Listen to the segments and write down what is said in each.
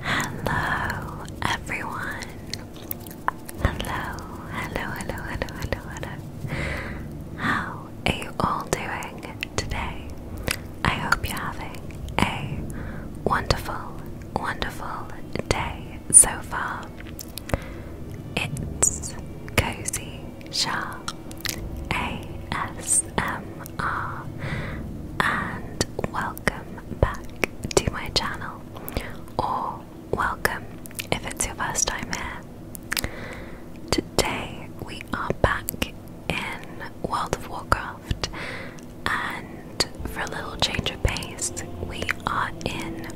Hello, everyone. Hello, hello, hello, hello, hello, hello. How are you all doing today? I hope you're having a wonderful, wonderful day so far. It's Cozy Shah ASMR and welcome back to my channel, or welcome if it's your first time here. Today we are back in World of Warcraft, and for a little change of pace, we are in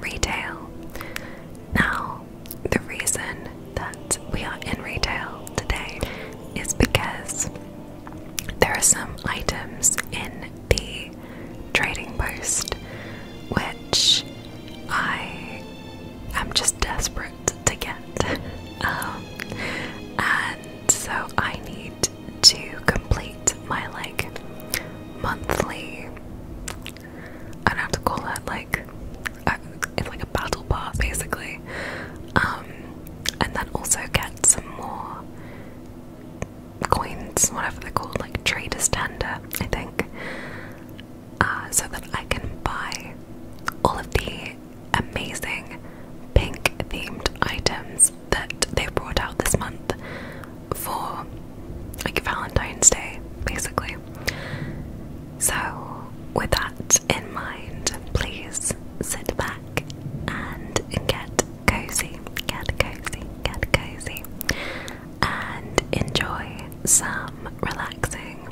retail. Now, the reason that we are in retail today is because there are some items in the trading post which I am just desperate to get. Um, and so I need to complete my like monthly, I don't have to call it like uh, it's like a battle pass basically. Um, and then also get some more coins, whatever they're called, like trader's tender, I think. Uh, so that I can buy all of the amazing pink themed items that they brought out this month for like Valentine's Day, basically. So with that in mind, please sit back and get cozy, get cozy, get cozy, and enjoy some relaxing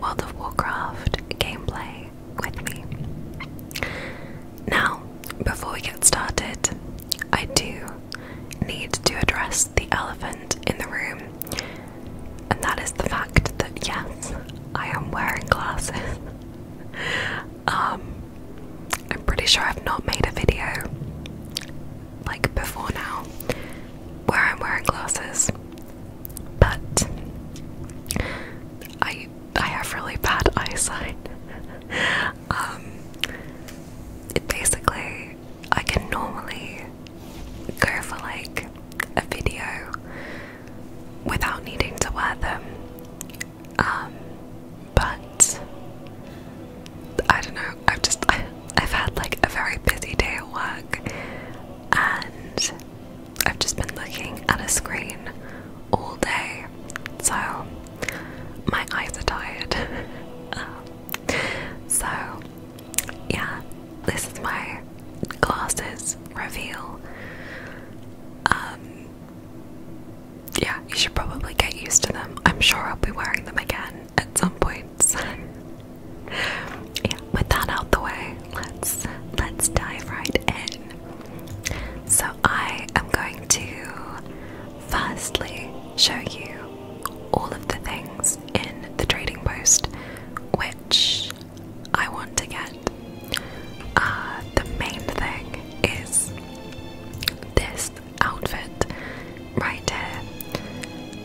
World of Warcraft gameplay with me. Now, before we get started, I do need to address the elephant in the room, and that is the fact that yes, I am wearing glasses. Um, I'm pretty sure I've not made a video like before now where I'm wearing glasses, but I I have really bad eyesight. Um, basically I can normally go for like a video without needing to wear them. Um, but I don't know. I've just I, have had like a very busy day at work, and I've just been looking at a screen all day. So my eyes are tired. Um, so yeah, this is my glasses reveal. Um, yeah, you should probably get used to them. I'm sure I'll be wearing them again at some point. yeah, with that out the way, let's let's dive right in. So I am going to firstly show you all of the things in the trading post which I want to get. Uh, the main thing is this outfit right here.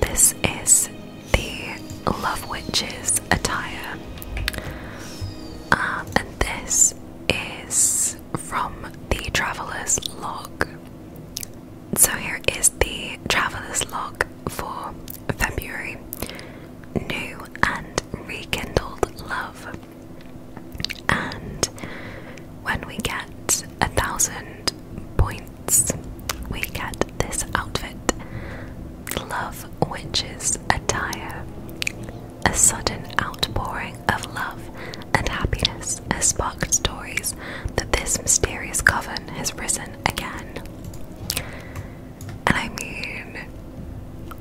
This is the Love Witches attire, um, and this is from the Traveler's Log. So, here is the Traveler's Log for February new and rekindled love. And when we get a thousand points, we get this outfit Love Witch's Attire. A sudden outpouring of love and happiness has sparked stories that this mysterious coven has risen again. And I mean,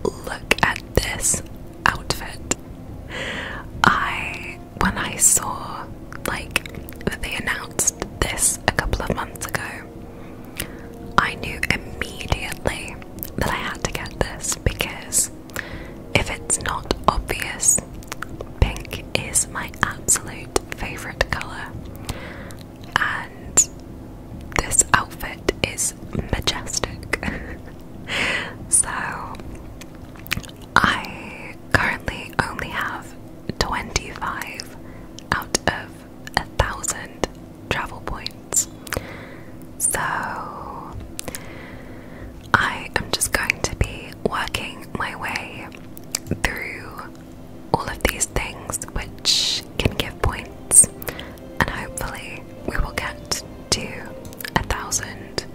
look at this outfit. I, when I saw, like, that they announced this a couple of months ago, I knew immediately that I had to get this because if it's not obvious, pink is my absolute favorite colour and this outfit is majestic. so I currently only have 25 out of a thousand travel points. So I am just going to be working my way through all of these things which can give points, and hopefully, we will get to a thousand.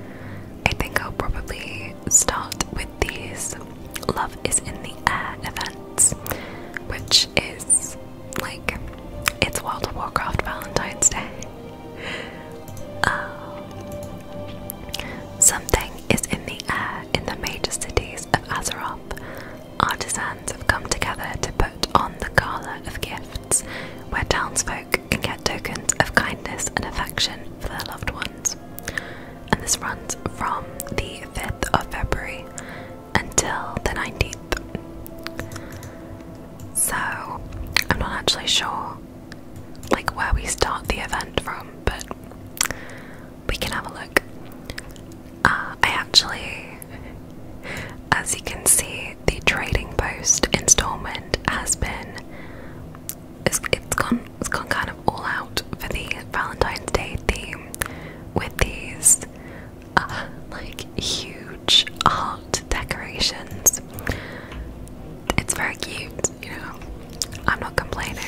I think I'll probably start with these Love is in the Air events, which is like it's World of Warcraft Valentine's Day. Um, something is in the air in the major cities of Azeroth, Artisans have come together to put on the gala of gifts, where townsfolk can get tokens of kindness and affection for their loved ones. And this runs from the 5th of February until the 19th. So, I'm not actually sure like where we start the event from, but we can have a look. Uh, I actually, as you can see, the trading post installment has been it's gone it's gone kind of all out for the Valentine's Day theme with these uh, like huge heart decorations. It's very cute, you know. I'm not complaining.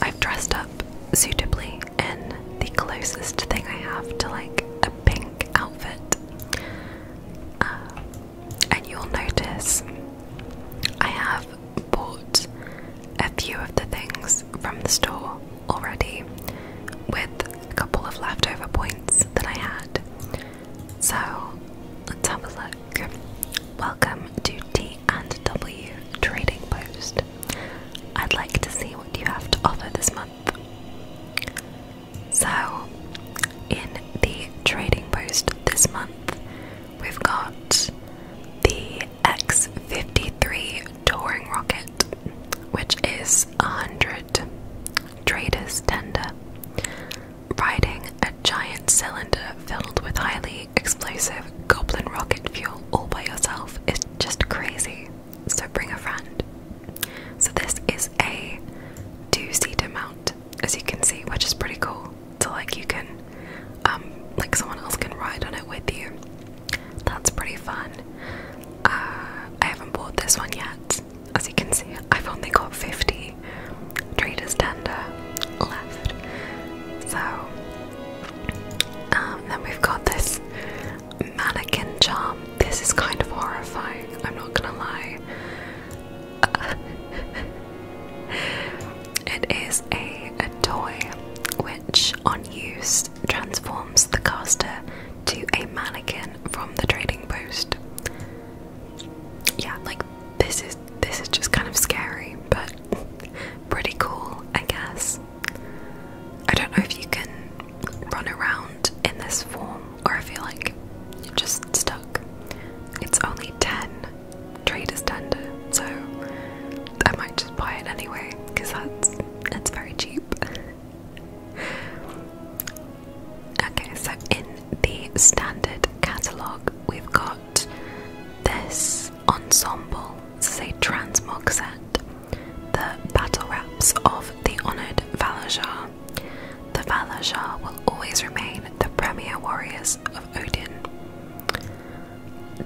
I've dressed up suitably in the closest thing I have to like a pink outfit. Uh, and you'll notice I have bought a few of the things from the store already with a couple of leftover points that I had. So let's have a look. Welcome to T and W Trading Post. I'd like to see what you have to offer this month. So, in the trading post this month, we've got the X53 Touring Rocket, which is a 100 traders tender, riding a giant cylinder filled with highly explosive goblin rocket fuel all by yourself is just crazy. So bring a friend. So this is a two-seater mount, as you can see, which is pretty cool. So like you can, um, like someone else can ride on it with you. That's pretty fun. Uh, I haven't bought this one yet. As you can see, I've only got 50 traders tender left. So um, then we've got this mannequin charm. This is kind of horrifying, I'm not gonna lie. it is a, a toy which, on use, transforms the caster to a mannequin from the trading post. Yeah, like this is this is just kind of scary, but pretty cool, I guess. I don't know if you can run around in this form or if you're like you're just stuck. It's only 10 traders tender, so I might just buy it anyway because that's it's very cheap. okay, so in the standard catalogue, we've got this ensemble this is a transmog set. The battle wraps of the honored Valajar. The Valajar will always remain the premier warriors of Odin.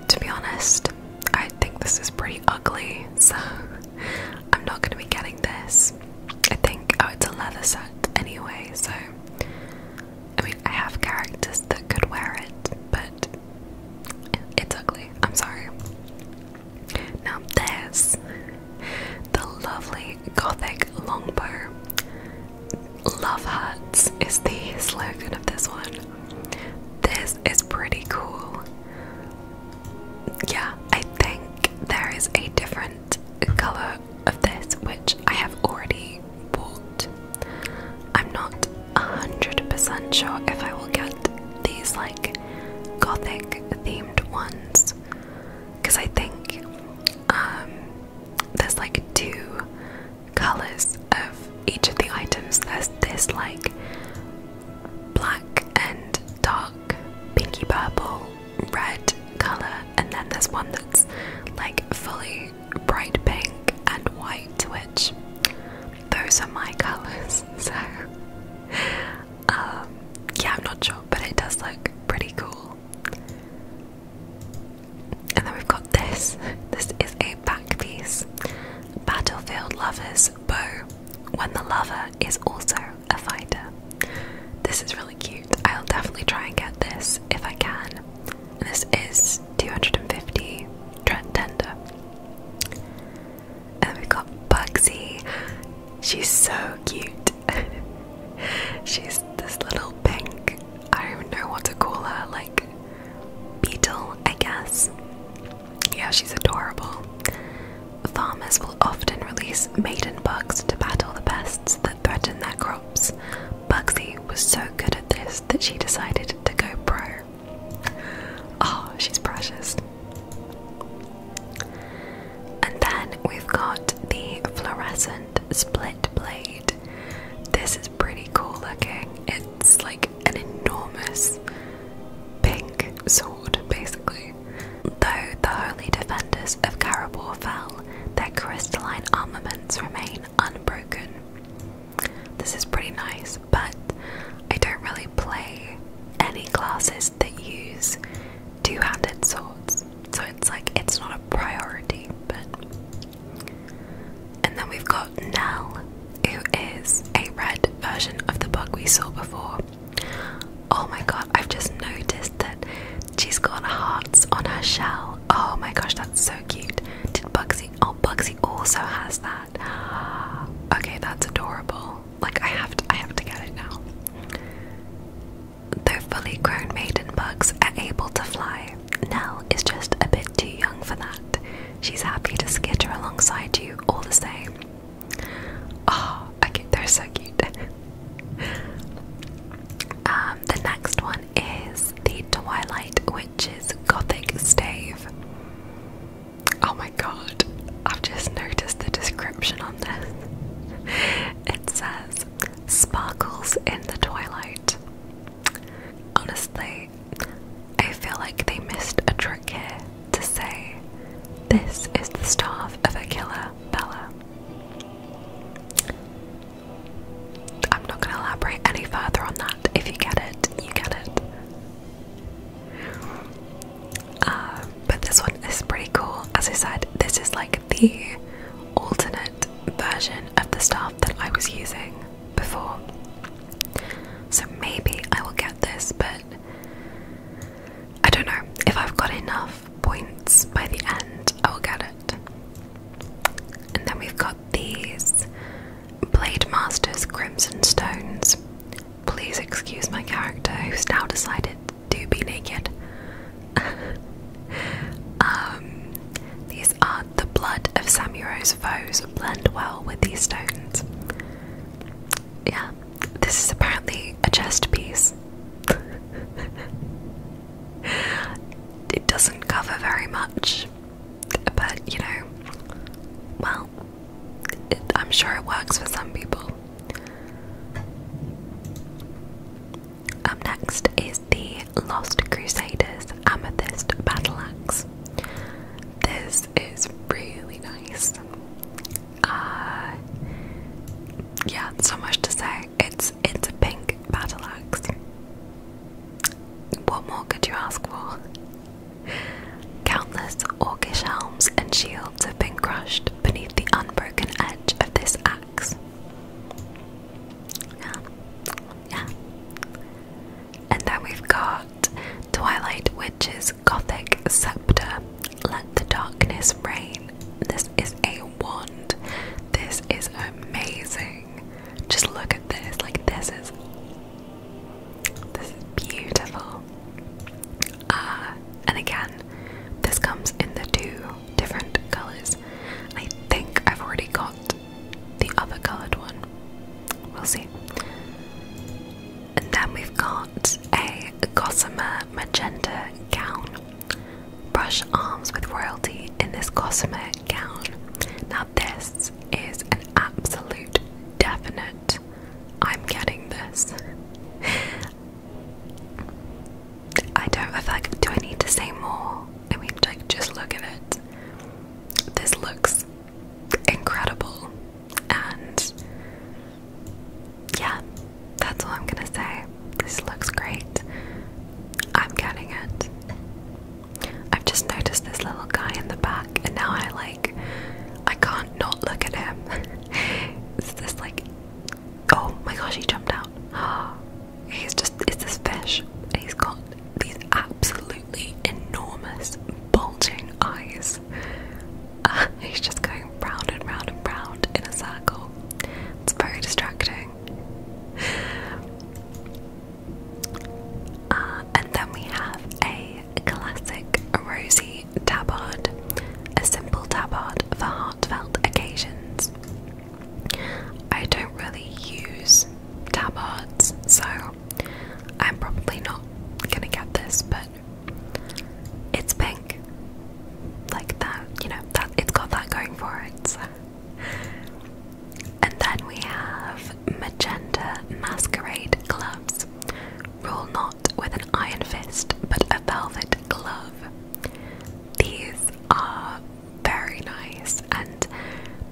To be honest, I think this is pretty ugly, so I'm not going to be getting this. I think, oh, it's a leather set anyway, so I mean, I have characters that could wear it, but it's ugly. I'm sorry. Now there's the lovely gothic longbow. Love hearts is the slogan of this one. This is pretty cool. Yeah, I think there is a different color of this which I have already bought I'm not 100% sure if I will get these like gothic themed ones because I think um, there's like two colors of each of the items. There's this like black and dark pinky purple red color, and then there's one that's like fully bright pink and white, which those are my colours, so um, yeah, I'm not sure, but it does look pretty cool. And then we've got this. This is a back piece. Battlefield Lover's Bow. When the lover is also a fighter. This is really cute. I'll definitely try and get this if I can. this is 250 tender. And we got Bugsy. She's so cute. She's this little pink, I don't even know what to call her, like beetle, I guess. Yeah, she's adorable. Farmers will often release maiden bugs to battle the pests that threaten their crops. Bugsy was so good at this that she decided to go pro her. Oh, she's precious. And then we've got the fluorescent split blade. This is pretty cool looking. It's like an enormous pink sword, basically. Though the holy defenders of Karabor fell, their crystalline armaments remain unbroken. This is pretty nice, but I don't really play any classes that use two handed swords, so it's like it's not a priority. But and then we've got Nell, who is a red version of the bug we saw before. Oh my god, I've just noticed that she's got hearts on her shell. Oh my gosh, that's so cute. Did Bugsy? Oh, Bugsy also has that. Okay, that's adorable. Like I have to I have to get it now. Though fully grown maiden bugs are able to fly, Nell is just a bit too young for that. She's happy to skitter alongside you all the same. Oh, ah, okay, they're so cute. um, the next one is the Twilight Witch's Gothic Stave. Oh my god, I've just noticed the description on this. It says, Sparkles in the Twilight. Honestly, I feel like they missed a trick here to say, This is the staff of a killer, Bella. I'm not going to elaborate any further on that. If you get it, you get it. Uh, but this one is pretty cool. As I said, this is like the alternate version of the stuff that I was using before. So maybe I will get this, but I don't know. If I've got enough points by the end, I will get it. And then we've got these Blade Masters Crimson Stones. Please excuse my character who's now decided to be naked. um, these are the blood of Samuro's foes blend well with these stones. Yeah, this is apparently a chest piece. it doesn't cover very much. But you know, well, I'm sure it works for some people. Up next is the Lost Crusaders Amethyst Battle Axe. This is really nice. Uh, yeah, so much to say. It's it's a pink battle axe. What more could you ask for? Countless orcish helms and shields have been crushed beneath the unbroken edge of this axe. Yeah. Yeah. And then we've got Twilight Witch's Gothic Scepter. Let the darkness reign. This is a wand. This is amazing. Just look at this. Like, this is this is beautiful. Uh, and again, this comes in the two different colours. I think I've already got the other coloured one. We'll see. And then we've got a gossamer magenta gown. Brush arms with royalty in this gossamer gown. Now, this this is an absolute definite. I'm getting this. I don't. I feel like. Do I need to say more? I mean, like, just look at it. This looks incredible, and yeah, that's all I'm gonna say. This looks great. I'm getting it. I've just noticed this little guy in the back, and now I like, I can't not look at him. it's this like, oh my gosh, he jumped out. he's just, it's this fish, he's got these absolutely enormous, bulging eyes. he's just going round and round and round in a circle. It's very distracting. Uh, and then we have a classic rosy tabard, a simple tabard for heartfelt occasions. I don't really use tabards, so I'm probably not gonna get this, but it's pink. Like that, you know, that it's got that going for it. And then we have Magenta Masquerade Gloves. Rule not with an iron fist, but a velvet glove. These are very nice and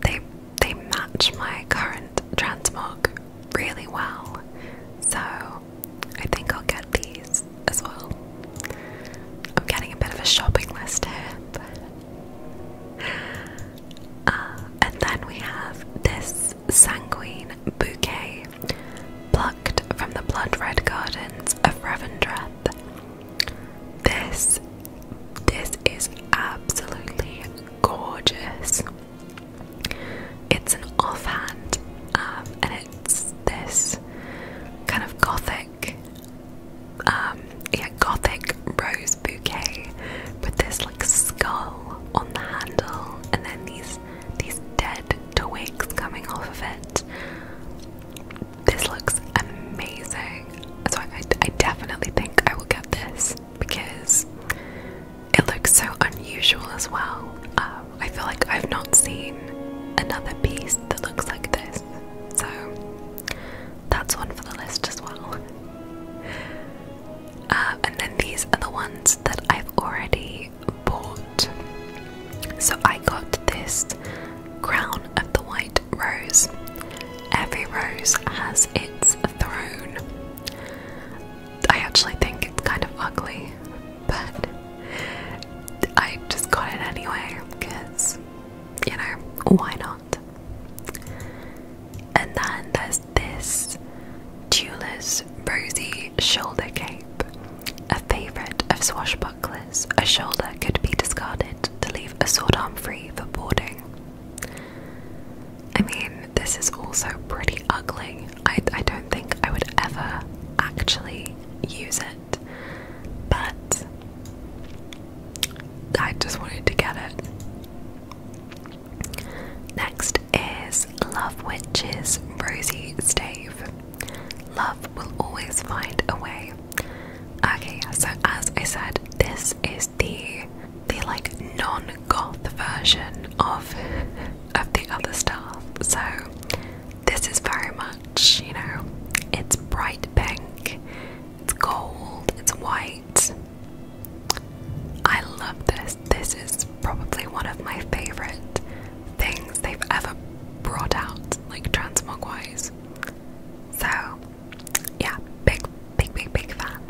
they they match my current transmog really well. So I think I'll get these as well. I'm getting a bit of a shopping list here, but uh, and then we have this sanguine bouquet plucked from the blood red gardens of Revendreth. This this is absolutely gorgeous. It's an offhand, um, and it's this kind of gothic, um, yeah, gothic rose bouquet with this like skull on the handle and then these these dead twigs coming off of it. This looks amazing. So I, I, definitely think I will get this because it looks so unusual as well. Um, I feel like I've not seen another piece that looks like this. So that's one for the list as well. Uh, and then these are the ones that I've already bought. So I got this crown of the white rose. Every rose has its throne. I actually think it's kind of ugly, but I just got it anyway because, you know, why not? And then there's this Tulis Rosy Shoulder Cape, a favourite of swashbucklers. A shoulder could be discarded to leave a sword arm free for boarding. I mean, this is also pretty ugly. I, I don't think I would ever actually use it, but I just wanted to get it. Next is Love Witch's Rosie Stave. Love will always find a way. Okay, so as I said, this is the the like non-goth version of of the other stuff. So this is very much, you know, it's bright pink, it's gold, it's white. I love this. This is probably one of my favorite things they've ever brought out, like transmog So, yeah, big, big, big, big fan.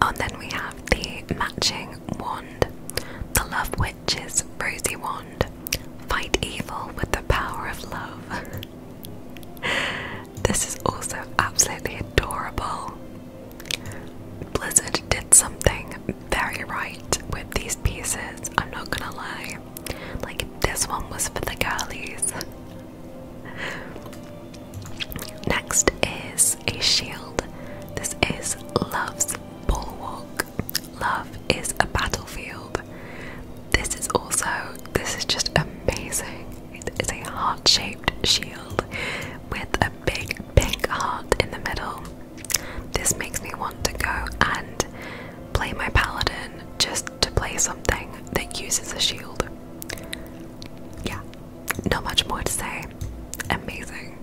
And then we have the matching wand, the Love Witch's Rosy Wand. Fight evil with the power of love. This is also absolutely adorable. Blizzard did something very right with these pieces, I'm not gonna lie. Like, this one was for the girlies. Next is a shield. This is Love's Bulwark. Love is a battlefield. This is also, this is just amazing. It is a heart-shaped shield with a big, big heart in the middle. This makes me want to go and play my paladin just to play something that uses a shield. Yeah, not much more to say. Amazing.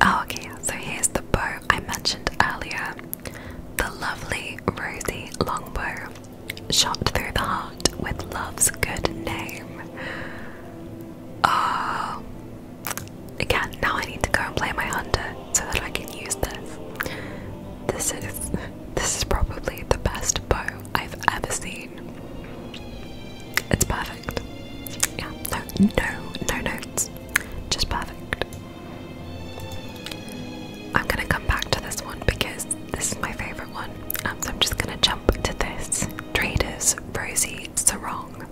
Oh, okay, so here's the bow I mentioned earlier the lovely rosy longbow shot through the heart with love's good name. Uh, again, now I need to go and play my hunter so that I can use this. This is this is probably the best bow I've ever seen. It's perfect. Yeah, no, no, no notes. Just perfect. I'm gonna come back to this one because this is my favorite one. Um, so I'm just gonna jump to this. Traders Rosie Sarong,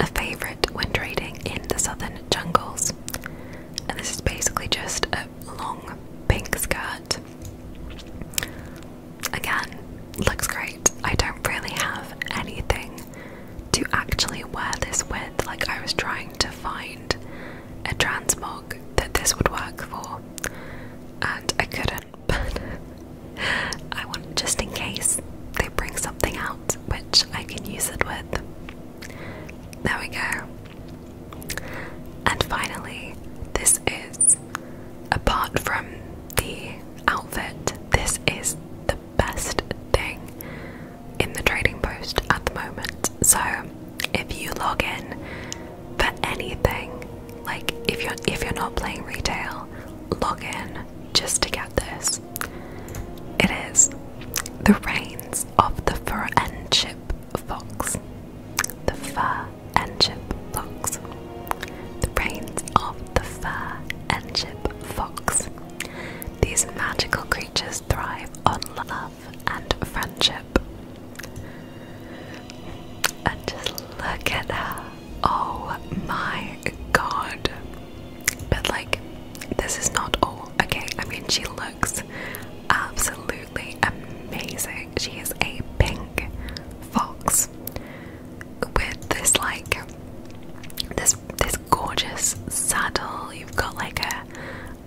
a favorite when trading in the southern jungles. And this is basically just a long pink skirt. Again, looks great. I don't really have anything to actually wear this with. Like, I was trying to find a transmog that this would work for, and I couldn't, but I want just in case they bring something out which I can use it with. There we go. And finally, this is apart from the outfit, this is the best thing in the trading post at the moment. So if you log in for anything. Like if you're if you're not playing retail, log in just to get this. It is the reigns of the fur and chip fox. The fur and chip fox. The reigns of the fur and chip fox. These magical creatures thrive on love and friendship. And just look at her. Oh my god. But, like, this is not all, okay? I mean, she looks absolutely amazing. She is a pink fox with this, like, this this gorgeous saddle. You've got like a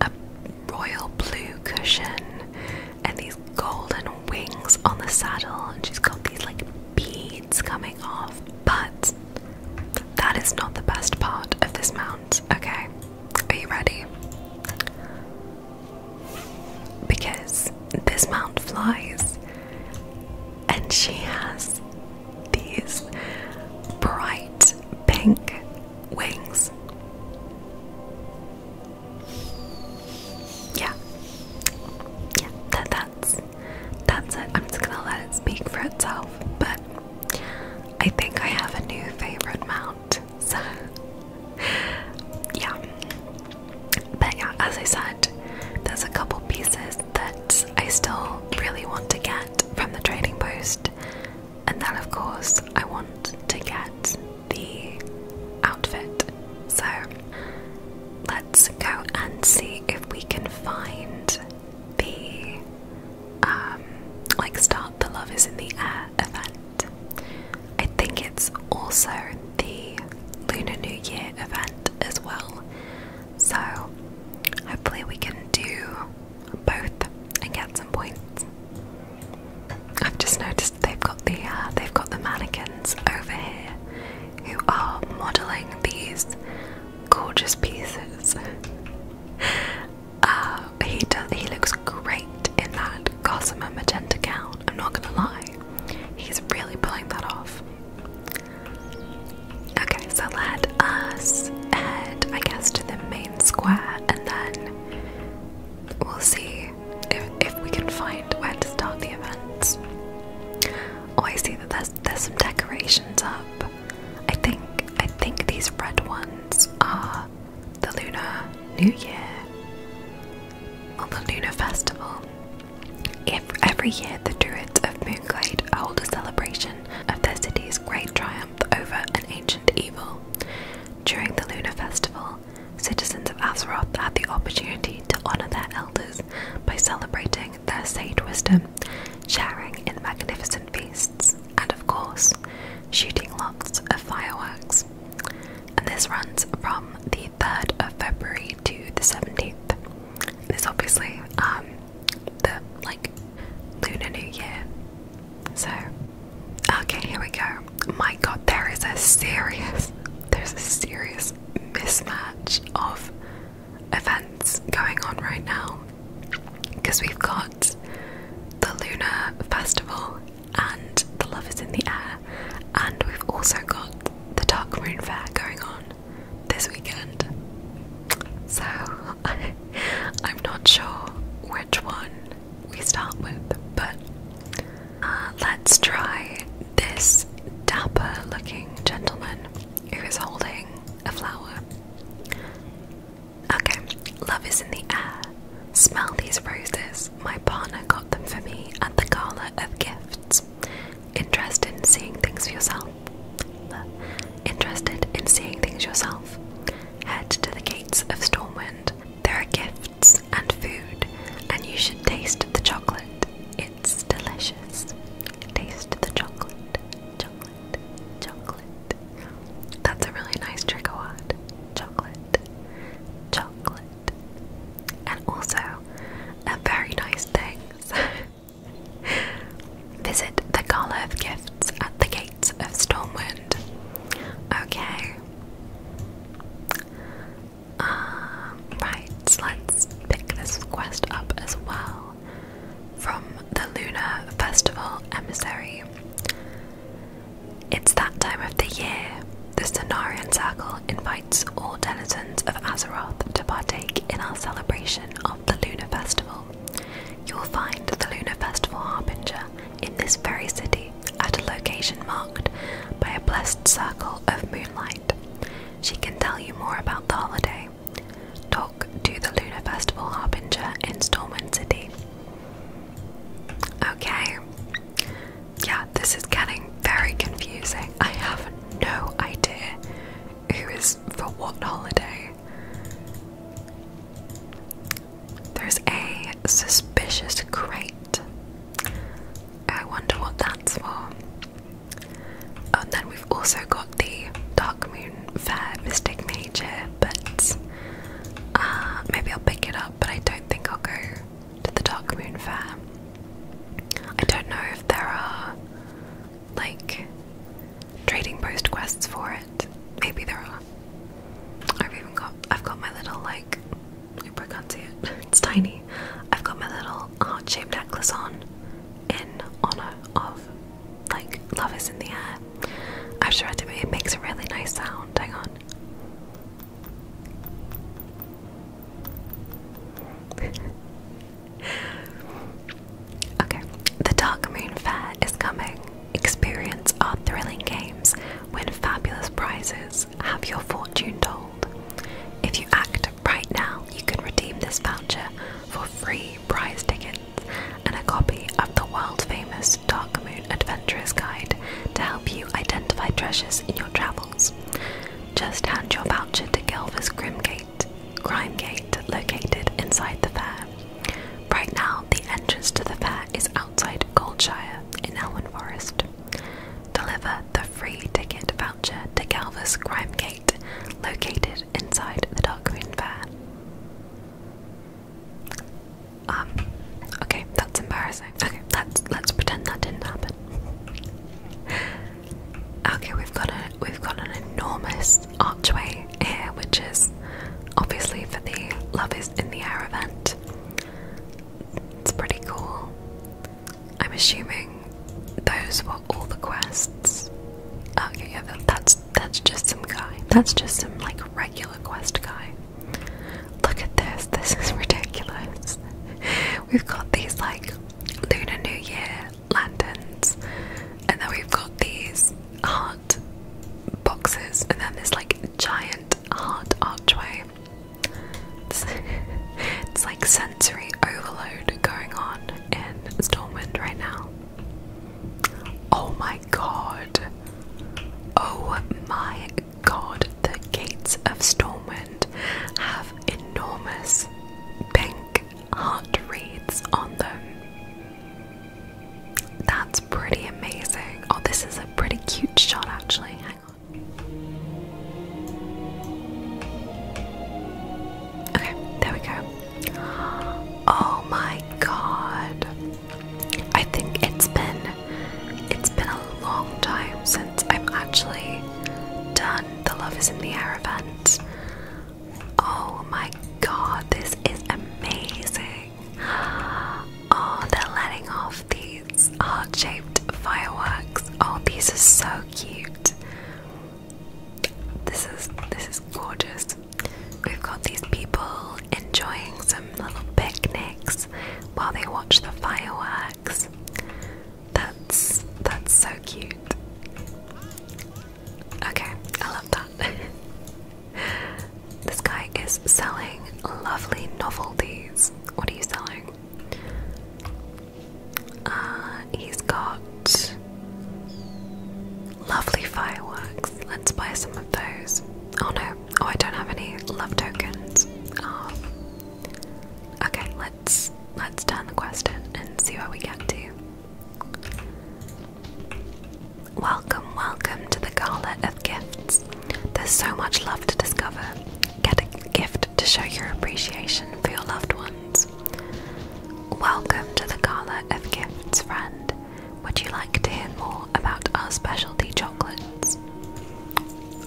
a royal blue cushion and these golden wings on the saddle, and she's got these like beads coming off. But that is not the best part of this mount, okay? Are you ready? Because this mount flies and she has these bright pink wings. Yeah. Yeah, that, that's that's it. I'm just gonna let it speak for itself. But I think I have a new favorite mount. So yeah. But yeah, as I said, there's a couple pieces that I still really want to get from the trading post. And then, of course, I want to get the outfit. So let's go and see if we can find the um, like start the love is in the air event. I think it's also the Lunar New Year event as well. So hopefully we can do both and get some points. I've just noticed they've got the uh, they've got the mannequins over here who are modelling these gorgeous pieces. Uh, he does. He looks great in that gossamer magenta gown. I'm not gonna lie, he's really pulling that off. Okay, so let us head, I guess, to the main square and then we'll see if if we can find where to start the events. Oh, I see that there's there's some decorations up. I think I think these red ones are the Lunar New Year or the Lunar Festival. If every year the Druids of Moonglade hold a celebration of their city's great triumph over an ancient evil. During the lunar festival, citizens of Azeroth had the opportunity to honor their elders by celebrating their sage wisdom, sharing in magnificent feasts, and of course, shooting lots of fireworks. And this runs from the 3rd of February to the 17th. This obviously um the like Lunar New Year so, okay, here we go. My god, there is a serious, there's a serious mismatch of events going on right now. Because we've got the Lunar Festival and the Love is in the Air, and we've also got the Dark Moon Fair going on this weekend. So, I'm not sure which one we start with, but uh, let's try this dapper looking gentleman who is holding a flower. Okay, love is in the air. Smell these roses. My partner got them for me at the gala of gifts. Interested in seeing things for yourself. Interested in seeing things yourself. Head to the gates of Stormwind. they are a gift and food, and you should taste the chocolate. It's delicious. Taste the chocolate, chocolate, chocolate. That's a really nice trigger word. Chocolate, chocolate. And also a very nice thing. Visit the Garlove Gifts at the gates of Stormwind. Okay, um, right, let's pick this quest up as well from the Lunar Festival Emissary. It's that time of the year. The Sonarian Circle invites all denizens of Azeroth to partake in our celebration of the Lunar Festival. You'll find the Lunar Festival Harbinger in this very city, at a location marked by a blessed circle of moonlight. She can tell you more about the holiday. Talk to the Lunar Festival Harbinger in Stormwind City. Okay. Yeah, this is getting very confusing. I have no idea who is for what holiday. There's a suspicious crate. I wonder what that's for. And then we've also got the Dark Moon Fair Mystic Mage but uh, maybe I'll pick it up, but I don't think I'll go to the Dark Moon Fair. I don't know if there are like trading post quests for it. Maybe there are. I've even got I've got my little like I can't see it. It's tiny. I've got my little heart shaped necklace on in honor of like love is in the air. I've tried to make it makes a really nice sound. Hang on. okay. The Dark Moon Fair is coming. Experience our thrilling games, win fabulous prizes, have your fortune told. If you act right now, you can redeem this voucher for free prize tickets and a copy of the world famous Dark Moon Adventurer's Guide to help you identify treasures in your travels. Just hand your voucher to Gelver's Crimgate, Crimgate located inside the fair. Right now, the entrance to the fair is outside Goldshire in Elwyn Forest. Deliver the free ticket voucher to Galva's Crime Gate, located inside the Dark Moon Fair. Um, okay, that's embarrassing. Okay, let's let's pretend that didn't happen. okay, we've got a we've got an enormous archway here, which is obviously for the Love is in the Air event. It's pretty cool. I'm assuming those were all the quests. Okay, yeah, that's that's just some guy. That's just some like regular quest guy. Look at this. This is ridiculous. We've got these like Lunar New Year lanterns, and then we've got these heart boxes, and then this like giant heart archway. It's, like sensory overload going on in Stormwind right now. Oh my god. Oh my god. The gates of Stormwind have enormous pink heart wreaths on them. That's pretty amazing. Oh, this is a pretty cute shot, actually. Hang on. Okay, there we go. Oh my god. I think it's been it's been a long time since I've actually done the Love is in the Air event. Oh my god, this is amazing. Oh, they're letting off these heart shaped fireworks. Oh, these are so cute. This is this is gorgeous. We've got these people enjoying some little picnics while they watch the fireworks. That's that's so cute. Okay, I love that. This guy is selling lovely novelties. What are you selling? Uh, he's got lovely fireworks. Let's buy some of those. Oh no, oh, I don't have any love tokens. Oh. okay, let's let's turn the quest in and see where we get to. Welcome, welcome to the Gala of Gifts. There's so much love to discover. Get a gift to show your appreciation for your loved ones. Welcome to the Gala of Gifts, friend. Would you like to hear more about our specialty chocolates?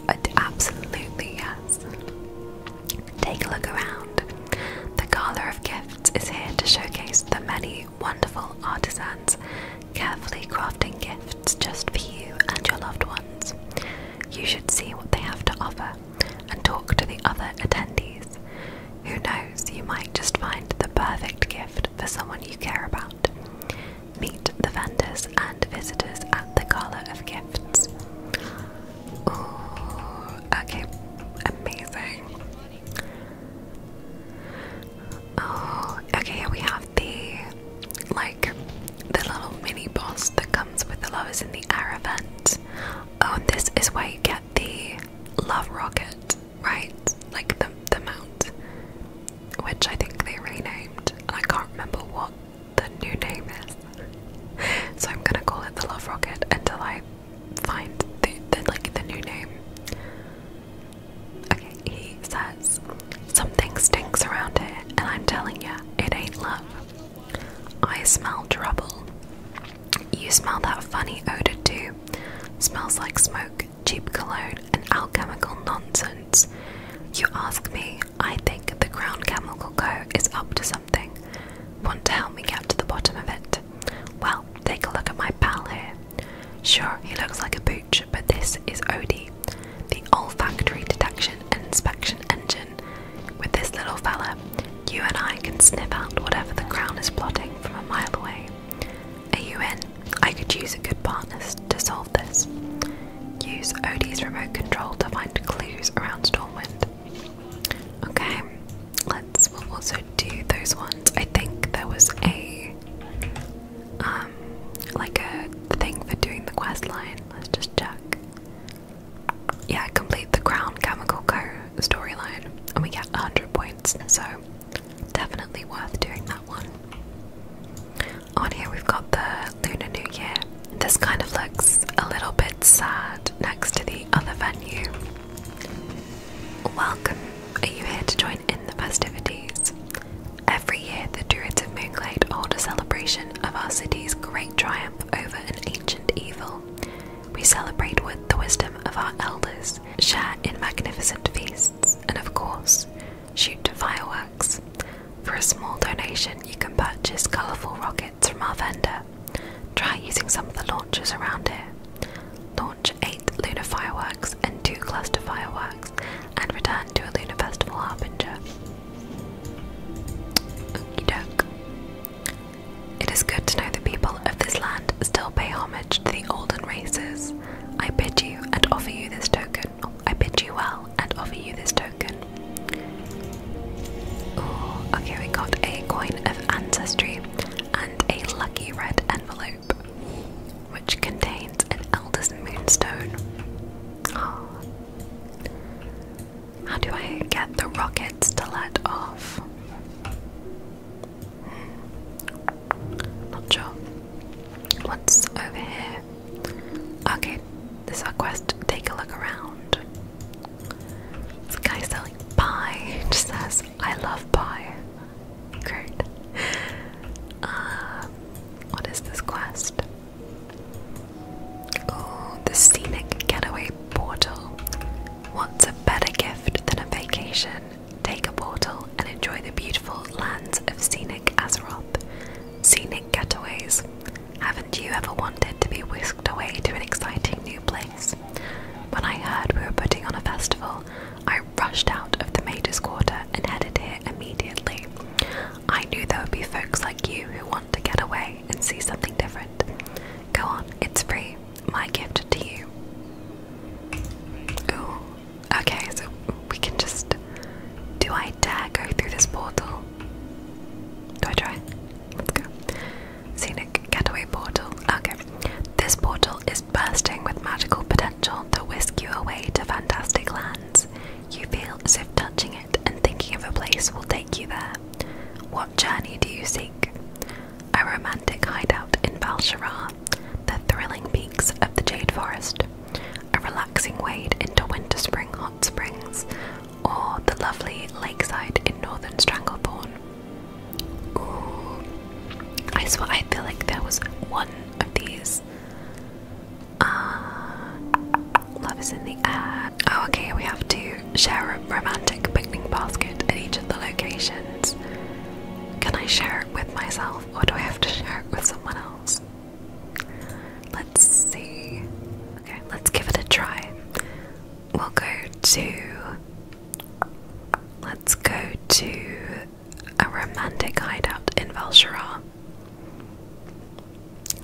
Uh, absolutely, yes. Take a look around. The Gala of Gifts is here to showcase the many wonderful artisans carefully crafting gifts just for you and your loved ones. You should see what they have to offer and talk to the other attendees. Who knows, you might just find the perfect gift for someone you care about. Meet the vendors and visitors at the Gala of Gifts. Ooh, okay, amazing. Oh, okay, we have the like the little mini boss that comes with the lovers in the air event. Oh, and this is where you get the love rocket, right? Like the the mount, which I think they renamed. I can't remember what the new name is, so I'm gonna call it the love rocket until I find the, the like the new name. Okay, he says, Something stinks around here, and I'm telling you, it ain't love. I smell trouble. You smell that funny odour too. Smells like smoke, cheap cologne, and alchemical nonsense. You ask me, I think the Crown Chemical Co. is up to something. Want to help me get to the bottom of it? Well, take a look at my pal here. Sure, he looks like a boot but this is Odie, the olfactory detection inspection engine. With this little fella, you and I can sniff out whatever the crown is plotting from a mile away. Are you in? I could use a good partner to solve this. Use Odie's remote control to find clues around Stormwind. Okay, let's we'll also do those ones. I think there was a um, like a thing for doing the quest line. Let's just check. Yeah, complete the Crown Chemical Co storyline, and we get 100 points, so definitely worth doing that one. On here, we've got the Lunar New Year. This kind of looks a little bit sad next to the other venue. Welcome. Are you here to join in the festivities? Every year, the Druids of Moonlight hold a celebration of our city's great triumph over an ancient evil. We celebrate with the wisdom of our elders, share in magnificent feasts, and of course, shoot fireworks. For a small donation, you can purchase colourful rockets from our vendor. Try using some of the launchers around here. Launch eight lunar fireworks and two cluster fireworks and return to a lunar festival harbinger. It is good to know the people of this land still pay homage to the olden races. I bid you and offer you this token. I bid you well and offer you this token. okay, we got a coin of ancestry and a lucky red envelope which contains an Elder's Moonstone. Ah. How do I get the rockets to let off? Hmm. Not sure. What's over here? Okay, this quest. Take a look around. This guy selling pie says, I love pie. Great. Uh, what is this quest? Oh, the scenic getaway portal. What's a better gift than a vacation? Take a portal and enjoy the beautiful lands of scenic Azeroth. Scenic getaways. Haven't you ever wanted to be whisked away to an exciting new place? When I heard we were putting on a festival, I rushed out of the Major's Quarter and headed here immediately. I knew there would be folks like you who want to get away and see something different. Go on, it's free. My gift to you. Ooh, okay, so we can just. Do I dare go through this portal? Do I try? Let's go. Scenic getaway portal. Okay. This portal is bursting with magical potential to whisk you away to fantastic lands. You feel as if touching it and thinking of a place will take you there. What journey do you seek? A romantic hideout in Balshara, the thrilling peaks of the Jade Forest, a relaxing wade into winter spring hot springs, or the lovely lakeside in northern Stranglethorn. I swear I feel like there was one of these uh, love is in the air. Oh, okay, we have to share a romantic picnic basket at each of the locations. Can I share it with myself or do I have to share it with someone else? Let's see. Okay, let's give it a try. We'll go to. Let's go to a romantic hideout in Valshara.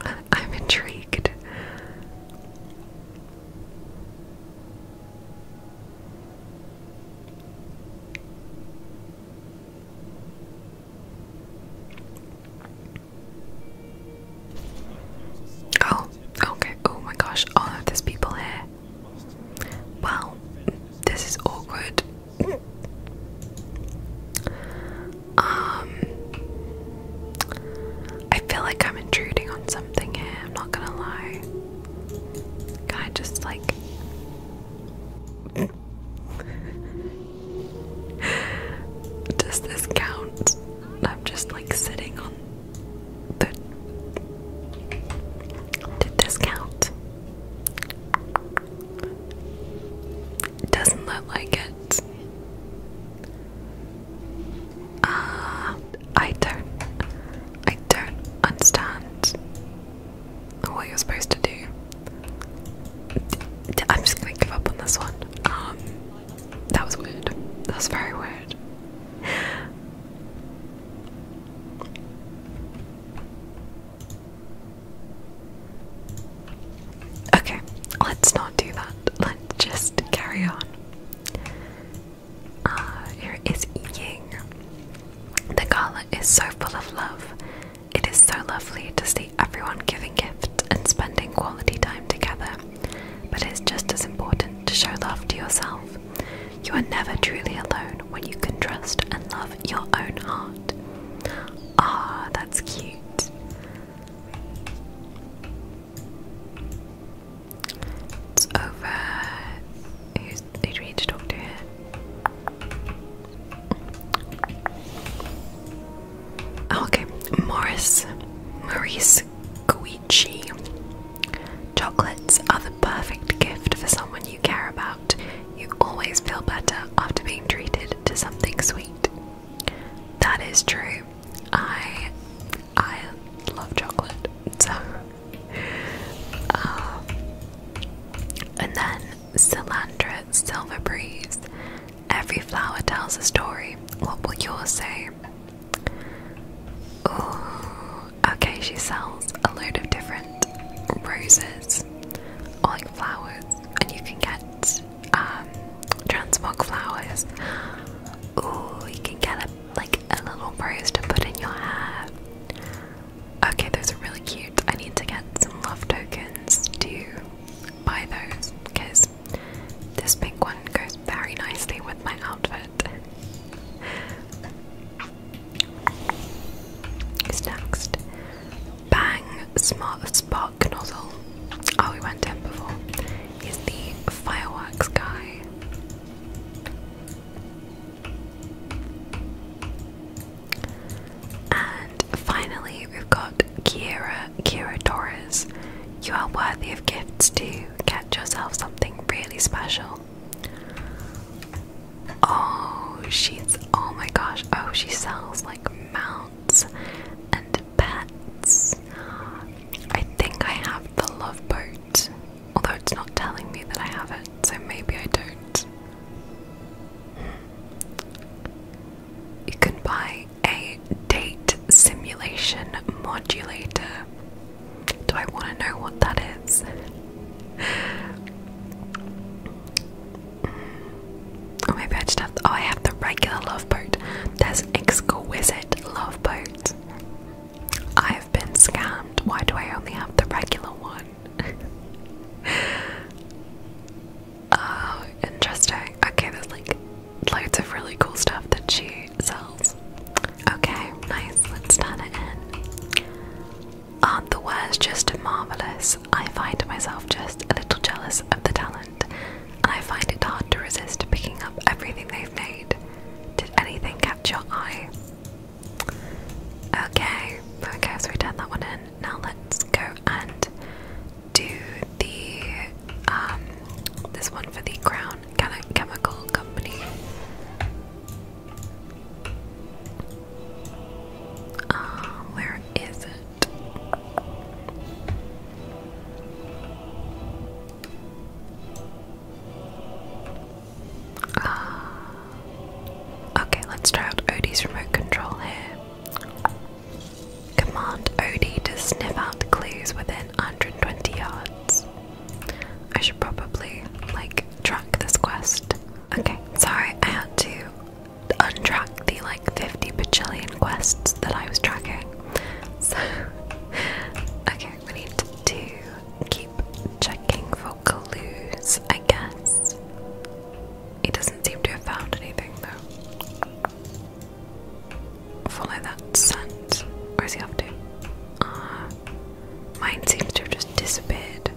I'm intrigued. Oh, okay. Oh my gosh, all oh, of people here. Wow, this is awkward. Um, I feel like I'm intruding on something here, I'm not gonna lie. Can I just like. Does this count? I'm just like sitting on the. Did this count? Doesn't look like it. Uh, I don't. I don't understand what you're supposed to do. i I'm just gonna give up on this one. Um, that was weird. That was very weird. Okay, let's not do that. Let's just carry on. Ah, here is Ying. The gala is so full of love. It is so lovely to see everyone giving gifts and spending quality time together. But it's just as important to show love to yourself. You are never truly alone when you can trust and love your own heart. Ah, that's cute. It's over. who do we need to talk to here? Oh, okay, Morris. Maurice Guicci. Chocolates are the perfect gift for someone you care about. You always feel better after being treated to something sweet. That is true. I I love chocolate. So um, and then Cilandra Silver Breeze. Every flower tells a story. What will yours say? Ooh, okay, she sells a load of different roses flowers, like flowers, and you can get um, transmog flowers. Ooh, you can get a, like a little rose to put in your hair. Okay, those are really cute. I need to get some love tokens to buy those because this pink one goes very nicely with my outfit. Who's next? Bang Smart Spark Nozzle. Oh, we went to before. He's the fireworks guy. And finally, we've got Kira, Kira Torres. You are worthy of gifts To Get yourself something really special. Oh, she's oh my gosh. Oh, she sells like mounts and pets. I think I have the love boat, although it's not telling me that I have it, so maybe I don't. Hmm. You can buy a date simulation modulator. Do I want to know what that is? Oh, maybe I just have. Oh, I have the regular love boat. There's exquisite love boat. I have been scammed. Why do I only have the regular one? oh, interesting. Okay, there's like loads of really cool stuff that she sells. Okay, nice. Let's turn it in aren't the words just marvellous? I find myself just a little jealous of the talent, and I find it hard to resist picking up everything they've made. Did anything catch your eye? Okay, okay, so we turned that one in. Now let's go and do the um this one for the Crown Chemical Company. Uh, where is it? Ah. okay, let's try out Odie's remote control here. Command Odie to sniff out clues within 120 yards. I should probably like track this quest. Okay, sorry, I had to untrack the like 50 bajillion quests that I was tracking. So, okay, we need to keep checking for clues, I guess. He doesn't seem to have found anything though. Follow that scent. Where's he up to? Ah, mine seems to have just disappeared.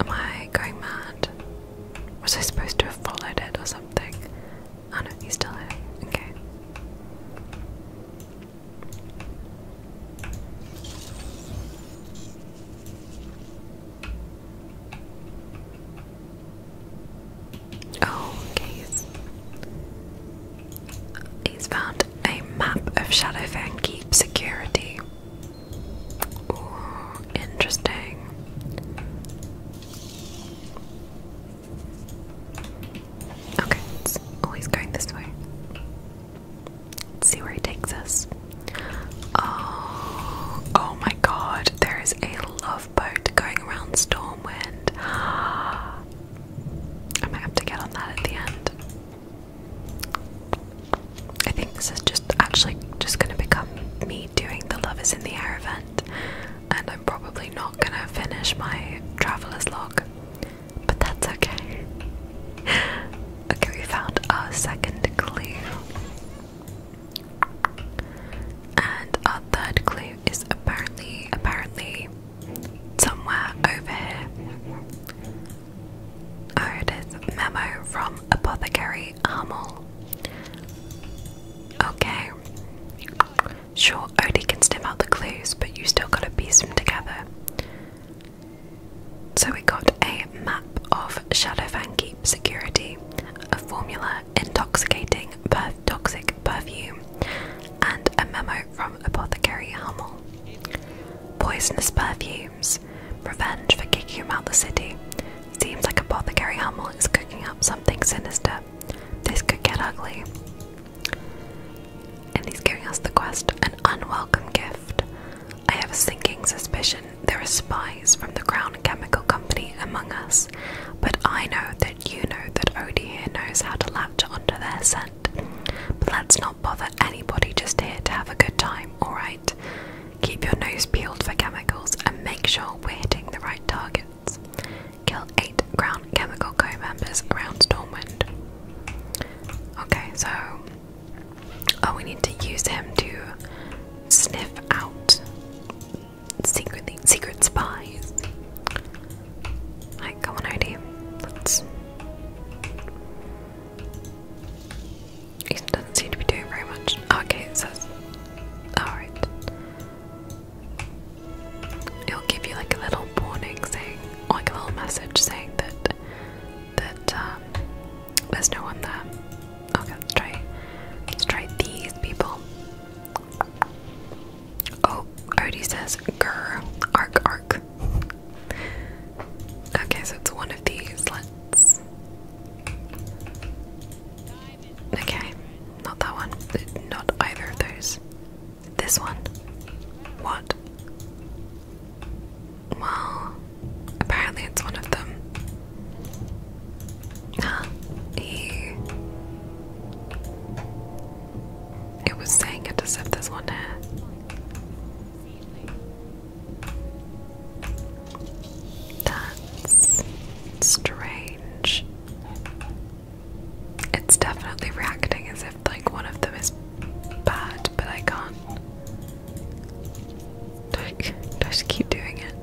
Am I going mad? Was I supposed to have followed it or something? Oh no, he's still here. Okay. Oh, okay. He's, he's found a map of Shadowfang Keep security interesting. Okay, it's always going this way. see where he takes us. Oh, oh my god, there is a love boat going around Stormwind. I might have to get on that at the end. I think this is just actually just going to become me doing the Love is in the Air event, and I'm probably not going to finish my traveler's log, but that's okay. okay, we found a second clue. And our third clue is apparently, apparently, somewhere over here. Oh, it is memo from Apothecary Armel. Okay. Sure, Odie can stem out the clues, but you still gotta piece them together. So we got a map of Shadowfang Keep Security, a formula intoxicating but toxic perfume, and a memo from Apothecary Armel. Poisonous perfumes. Revenge for kicking him out the city. Seems like Apothecary Hummel is cooking up something sinister. This could get ugly. And he's giving us the quest an unwelcome gift. I have a sinking suspicion there are spies from the Crown Chemical Company among us, but I know that you know that Odie knows how to latch onto their scent. But let's not bother anybody, just here to have a good time, alright? Keep your nose peeled for chemicals and make sure we're hitting the right targets. Kill 8 ground Chemical Co members around Stormwind. Okay, so. Oh, we need to use him to sniff out secretly, secret spies. Right, come on, Odie. Let's. He doesn't seem to be doing very much. okay, it says. Alright. It'll give you like a little warning saying, like a little message saying that that um, there's no one there. Okay, let's try. Let's try these people. Oh, Odie says, "Grr, Ark, Ark." Okay, so it's one of these. Let's. Okay, not that one. Not either of those. This one. What? Well, apparently it's one of them. Huh? Ew. It was saying it to set this one that's strange. It's definitely reacting as if like one of them is bad, but I can't. Like, I, just keep doing it?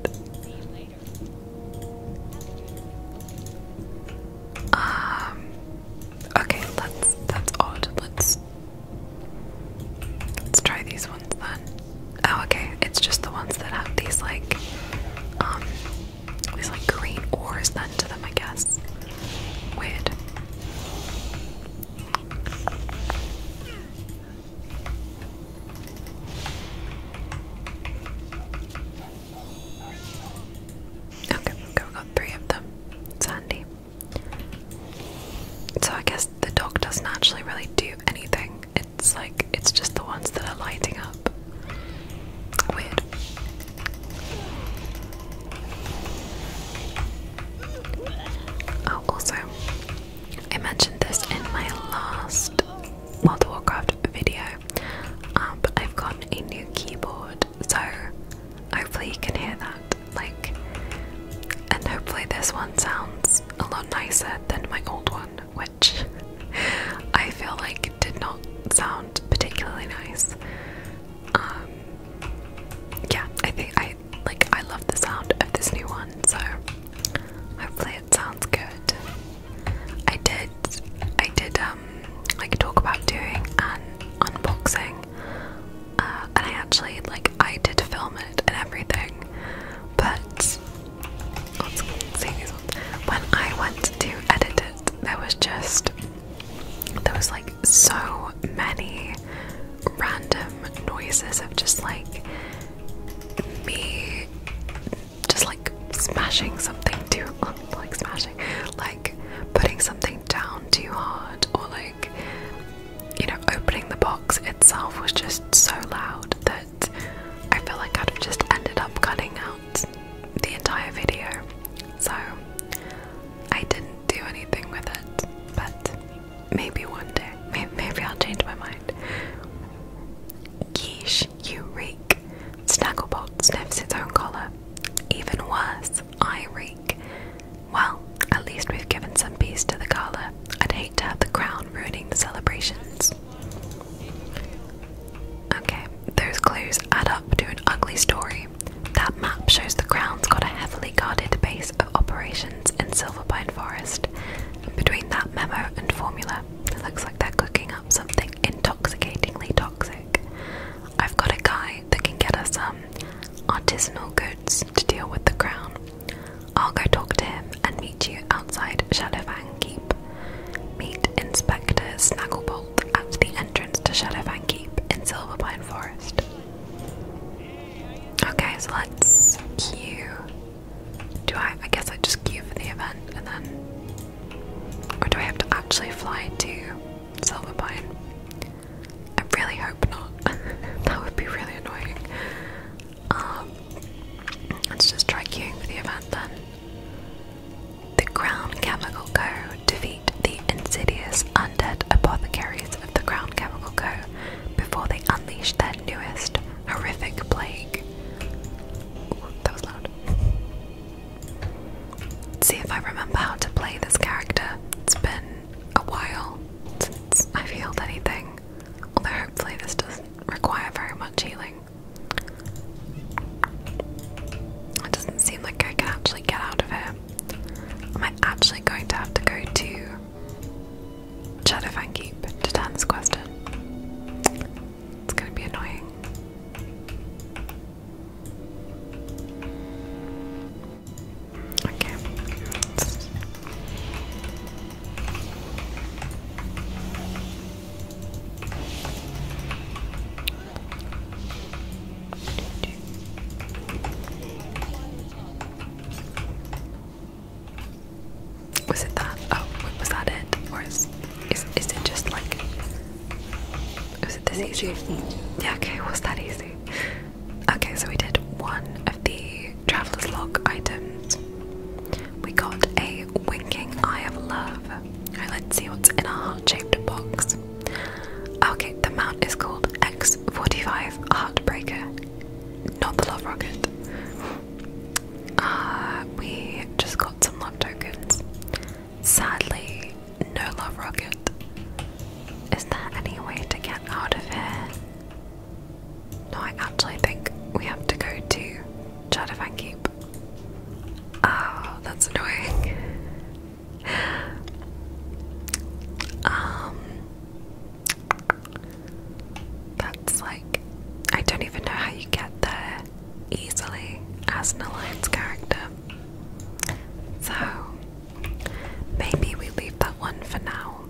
Um. Okay, that's that's odd. Let's Let's try these ones then. Oh, okay. It's just the ones that have these like, um, these like green ores then to them, I guess. Weird. Okay, got three of them. It's so I guess the dog doesn't actually really do anything. It's like it's just the ones that are lighting up. Weird. Oh, also, I mentioned this in my last World of Warcraft video, um, but I've got a new keyboard, so Hopefully, you can hear that. Like, and hopefully, this one sounds a lot nicer than my old one, which I feel like did not sound particularly nice. Um, yeah, I think I like I love the sound of this new one, so hopefully it sounds good. I did, I did um like talk about doing an unboxing uh, and I actually, like, I did film it and everything, but When I went to edit it, there was just, there was like so many random noises of just like me just like smashing something too, like smashing, like putting something down too hard, or like you know, opening the box itself was just so loud that I felt like I'd have just ended up cutting out the entire video. So I didn't do anything with it, but maybe one day, maybe, I'll change my mind. Geesh, you reek. Snagglebot sniffs its own collar. Even worse, I wreak. Well, at least we've given some peace to the gala. I'd hate to have the crown ruining the celebrations. Okay, those clues add up to an ugly story. That map shows the crown's got a heavily guarded base of operations in Silverpine Forest. Between that memo and formula, it looks like they're cooking up something intoxicatingly toxic. I've got a guy that can get us some. Um, artisanal goods to deal with the crown. I'll go talk to him and meet you outside Shadowfang Keep. Meet Inspector Snagglebolt at the entrance to Shadowfang Keep in Silverpine Forest. Okay, so let's queue. Do I? I guess I just queue for the event and then. Or do I have to actually fly to Silverpine? I really hope not. that would be really annoying. Um, let's just try queuing for the event then. The Crown Chemical Co. defeat the insidious undead apothecaries of the Crown Chemical Co. before they unleash their newest horrific plague. that was loud. see if I remember how to play this character. It's been a while since I've healed anything. Although, hopefully, this doesn't require very much healing. It doesn't seem like I can actually get out of here. Am I actually going to have to go to Shadowfang Keep to turn this question? It's going to be annoying. Okay. Was it that? Oh, was that it? Or is is is it just like? Was it this easy? Yeah. Okay. Was that easy? Okay, so we did one of the traveler's log items. We got a winking eye of love. let's see what's in our heart-shaped box. Okay, the mount is called X45 Heartbreaker, not the love rocket. Uh, we just got some love tokens. Sadly, no love rocket. Is there any way to get out of here? No, I actually think we have to go to Chattafan Keep. Oh, that's annoying. um, that's like I don't even know how you get there easily as an alliance character. So Maybe we leave that one for now.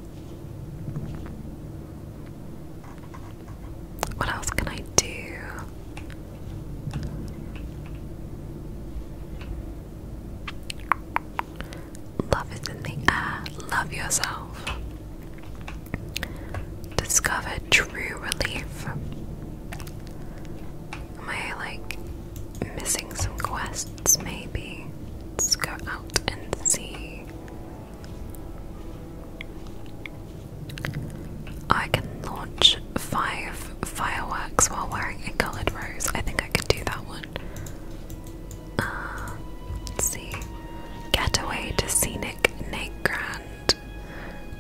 What else can I do? Love is in the air. Love yourself. Discover true relief. Am I like missing some quests, maybe. Let's go out and see. I can launch five fireworks while wearing a coloured rose. I think I can do that one. Uh, let's see. Getaway to scenic Nagrand.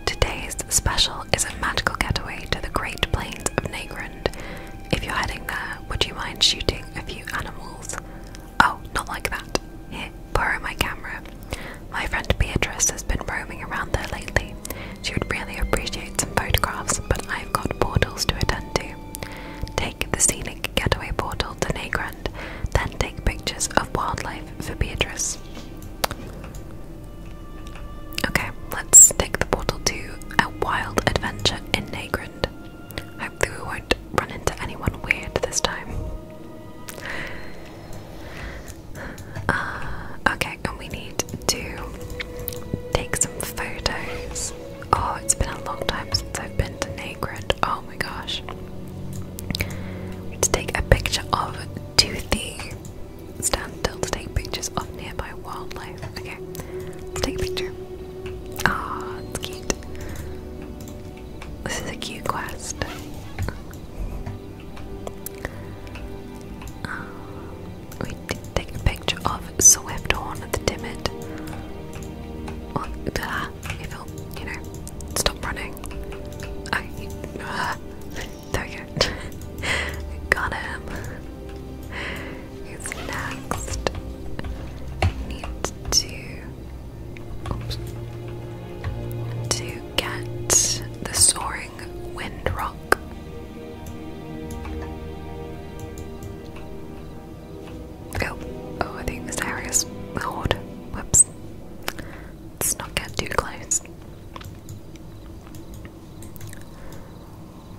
Today's special is a magical getaway to the Great Plains of Nagrand if you're heading there, would you mind shooting a few animals? Oh, not like that. Here, borrow my camera. My friend Beatrice has been roaming around there lately. She would really appreciate some photographs, but I've got portals to attend to. Take the scenic getaway portal to Nagrand, then take pictures of wildlife for Beatrice. Okay, let's take the portal to a wild adventure in Nagrand. Hopefully, we won't run into anyone weird this time. Uh, okay, and we need to take some photos. Oh, it's been a long time since I've been to Nagrid. Oh my gosh. To take a picture of Toothy. Stand still to take pictures of nearby wildlife. Okay, let's take a picture. Aw, ah, it's cute. This is a cute quest. Ah, we take a picture of Swifthorn the Timid. Well, uh, if you'll, you know, stop running. I, ah, there we go. Got him who's next needs to to get the soaring wind rock. Oh, oh, I think this area is old. Whoops. Let's not get too close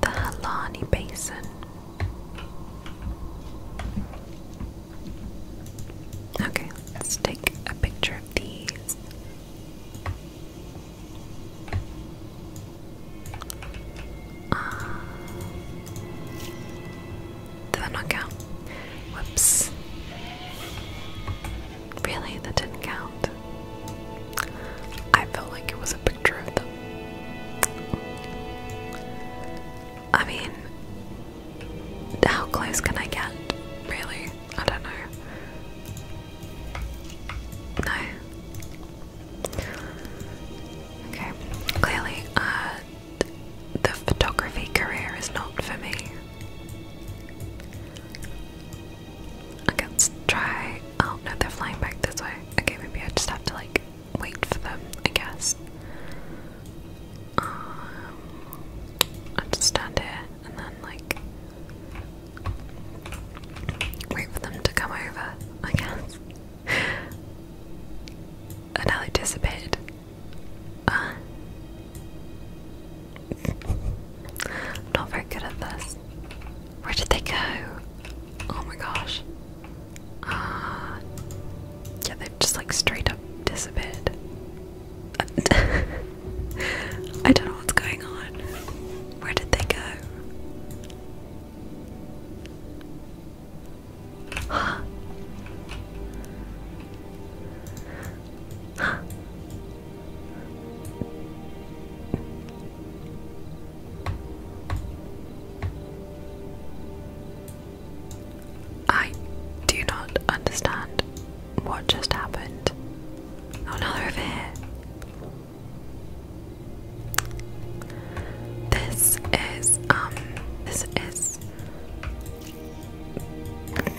the Halani Basin. Okay, let's take a picture of these. Uh, did that not count? Whoops. Really, that didn't count. I felt like it was a picture of the I mean, how close can I get? Really? I don't know. No. Okay. Clearly, uh, the photography career is not for me. Okay, let try. Oh no, they're flying back this way. Okay, maybe I just have to like wait for them, I guess. Um, I just stand here and then, like, wait for them to come over, I guess. and i not very good at this. Where did they go? Oh my gosh. Uh, yeah, they've just like straight up disappeared. I don't know what's going on. Where did they go? I do not understand what just happened. Oh, now they This is, um, this is.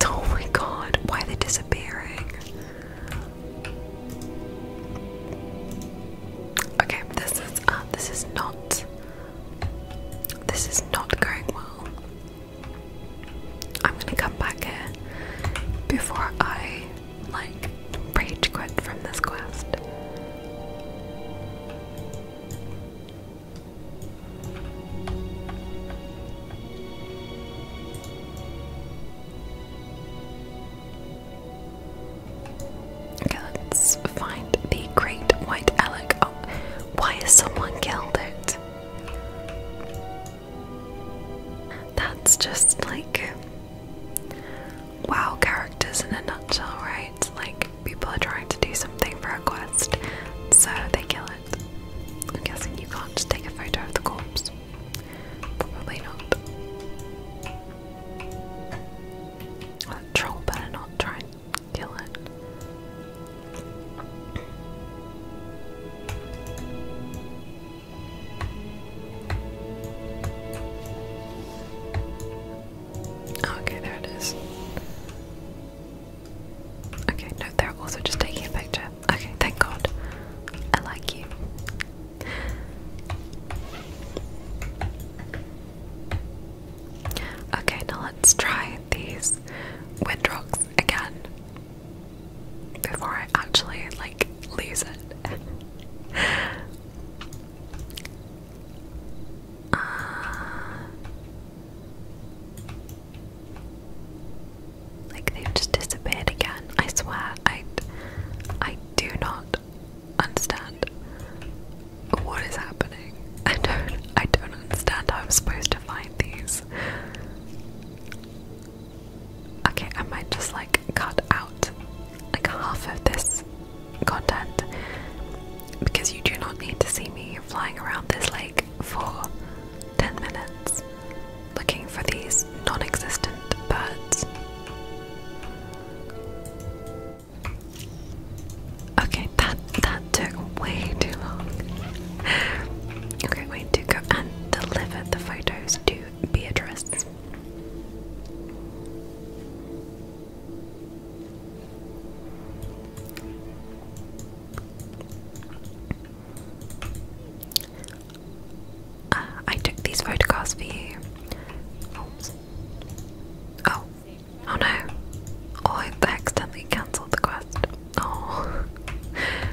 Oh my god, why they disappearing? Okay, this is uh, this is not this is not going well. I'm gonna come back here before I like rage quit from this quest let's find the great white elk. Oh, why is someone killed it? That's just like wow characters in a nutshell, right? like people are trying to do something for a quest, so they kill it. I'm guessing you can't just take a photo of the corpse. Probably not troll better not try and kill it. Okay, there it is. Okay, no, they're also just taking a picture. Okay, thank God. I like you. Okay, now let's try these wind again before I actually like lose it. uh... Like they've just disappeared again. I swear, I I do not understand what is happening. I don't I don't understand how I'm supposed to find these. Okay, I might just like cut out like half of this content because you do not need to see me flying around this lake for 10 minutes looking for these non existent birds. Okay, that that took way too long. okay, wait to go and deliver the photos to Beatrice. Uh, I took these photographs for you. Oh, oh no. Oh, I accidentally cancelled the quest. Oh.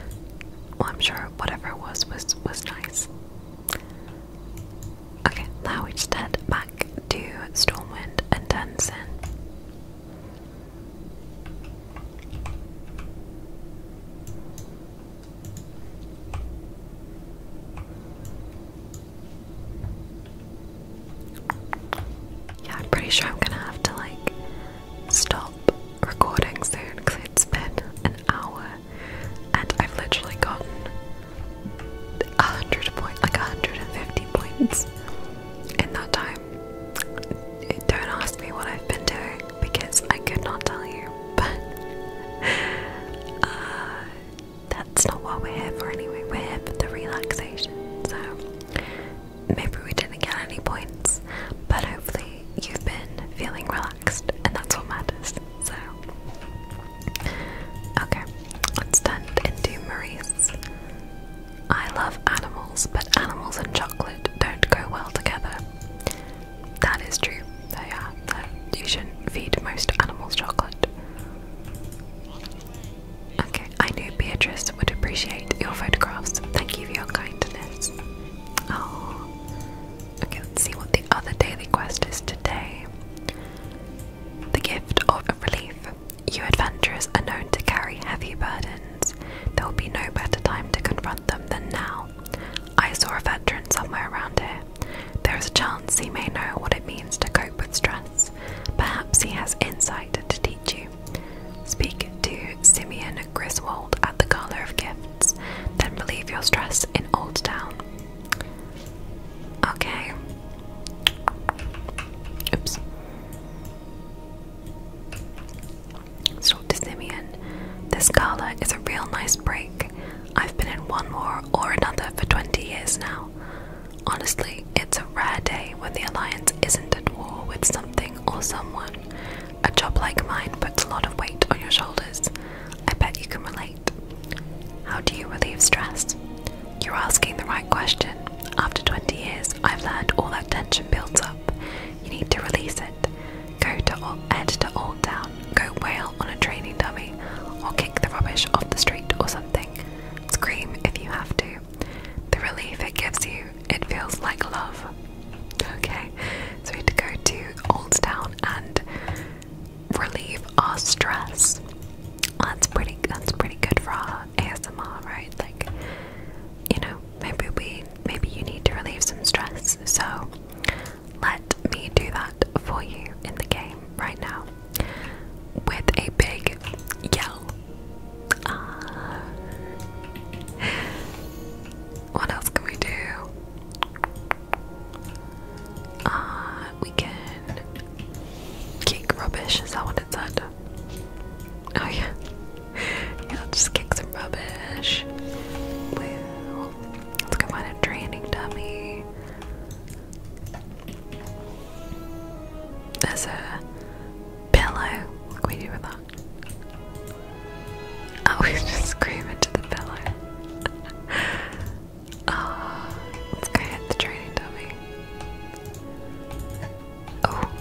Well, I'm sure whatever it was was was nice. Okay, now we just head back to Stormwind and Denson. Yeah, I'm pretty sure I'm gonna have to like stop recording soon because it's been an hour and I've literally gotten a hundred points, like 150 points in that time. Don't ask me what I've been doing because I could not tell you, but uh, that's not what we're here for anyway. We're here for the relaxation. So maybe we didn't get any points, but hopefully you've been feeling relaxed, and that's what matters. So, okay, let's turn it into Maurice. I love animals, but animals and chocolate don't go well together. That is true. They are. you shouldn't feed most animals chocolate. Okay, I knew Beatrice would appreciate your photographs. Thank you for your kindness. Oh, okay. Let's see what the other daily quest is today. The gift of relief. You adventurers are known to carry heavy burdens. There will be no better time to confront them than now. I saw a veteran somewhere around here. There is a chance he may know what it means to cope with stress. Perhaps he has insight to teach you. Speak to Simeon Griswold at the Gala of Gifts, then relieve your stress in Old Town. Okay. Oops. Sort to Simeon. This gala is a real nice break. I've been in one war or another for 20 years now. Honestly, it's a rare day when the Alliance isn't at war with something or someone. A job like mine puts a lot of weight on your shoulders. I bet you can relate. How do you relieve stress? You're asking the right question. After 20 years, I've learned all that tension builds up. You need to release it. Go to head to all down go whale on a training dummy, or kick the rubbish off the street or something. Scream if you have to. The relief it gives you, it feels like love. Okay, so we had to go to Old Town and relieve our stress. That's pretty. That's pretty good for our ASMR, right? Like, you know, maybe we, maybe you need to relieve some stress. So let me do that for you in the game right now with a big yell. Uh, what else can we do? Uh, we can kick rubbish, is that what it said? Oh, yeah. yeah, just kick some rubbish. let's go find a training dummy. There's a pillow. What can we do with that? Oh, we just scream into the pillow. oh, let's go hit the training dummy. Oh.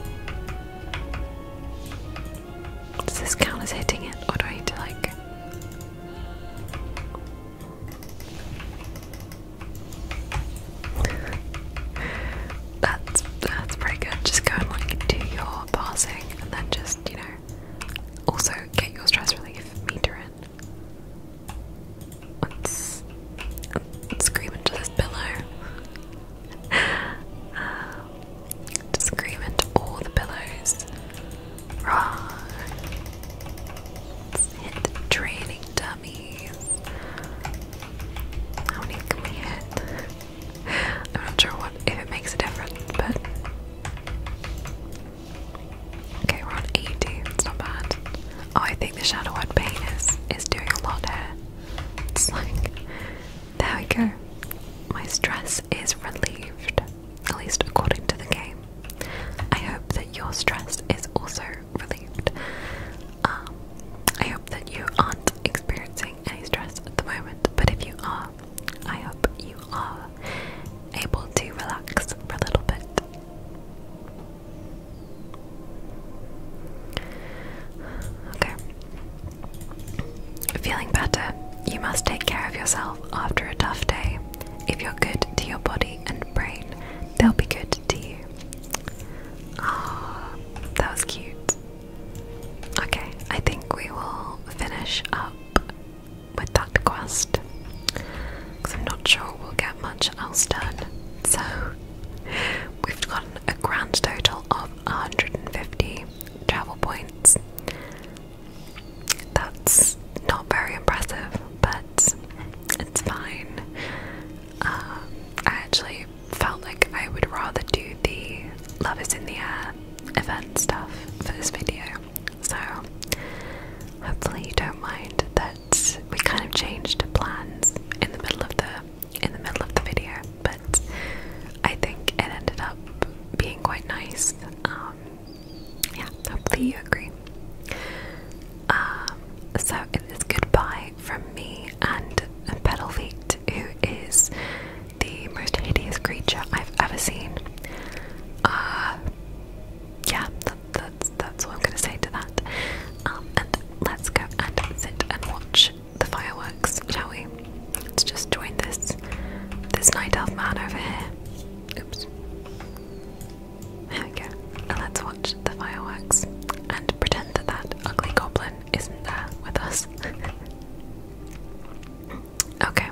Does this count as hitting it, or do I need to like that's that's pretty good. Just go and like do your passing, and then just you know also get your stress relief meter in. Let's, scream into this pillow. just scream into all the pillows rods hit training dummies. I'm not sure what if it makes a difference, but okay, we're on 80. It's not bad. Oh, I think the shadow one pain is doing a lot here. It's like there we go. My stress is relieved at least according to the game. I hope that your stress is also relieved. Um, I hope that you aren't experiencing any stress at the moment, but if you are, I hope you are able to relax for a little bit. Okay. Feeling better, you must take care of yourself after a tough day. If you're good to your body and brain, they'll be good to you. Ah, that was cute. Okay, I think we will finish up with that quest because I'm not sure we'll get much else done. So we've gotten a grand total of 150 travel points. That's not very impressive, but it's fine. Um, I actually felt like I would rather do the Love is in the Air event stuff for this video, so hopefully you don't mind that we kind of changed plans in the middle of the in the middle of the video, but I think it ended up being quite nice. Um, yeah, hopefully you agree. Um, so it is goodbye from me and Petal who is the most hideous creature I've ever seen. Uh, yeah, that's that's all I'm gonna say to that. Um, and let's go and sit and watch the fireworks, shall we? Let's just join this this night elf man over here. Oops. There let's watch the fireworks and pretend that that ugly goblin isn't there with us. okay.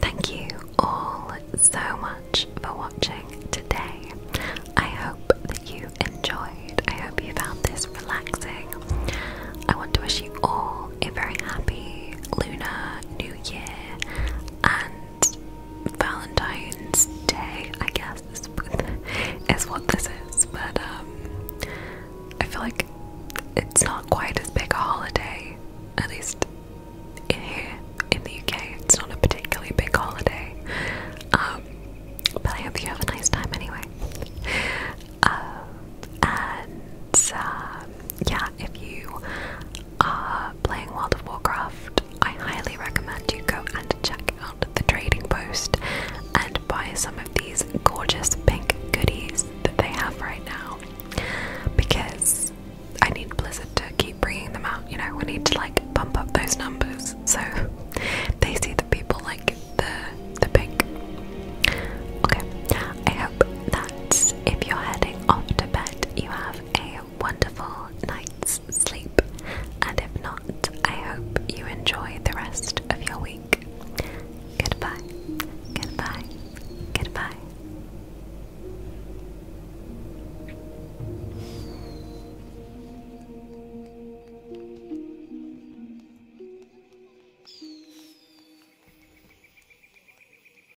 Thank you all so much for watching today. I hope that you enjoyed. I hope you found this relaxing. I want to wish you all a very happy Lunar New Year and Valentine's Day, I guess, is, what this is. But um, I feel like it's not quite as big a holiday, at least in here in the UK. It's not a particularly big holiday. Um, but I hope you have a nice time anyway. Um, and yeah, if you are uh, playing World of Warcraft, I highly recommend you go and check out the trading post and buy some of these gorgeous pink goodies that they have right now because I need Blizzard to keep bringing them out. You know, we need to like bump up those numbers so they see that people like the the pink. Okay, I hope that if you're heading off to bed, you have a wonderful night's sleep, and if not, I hope you enjoy the rest of your week. Goodbye, goodbye, goodbye.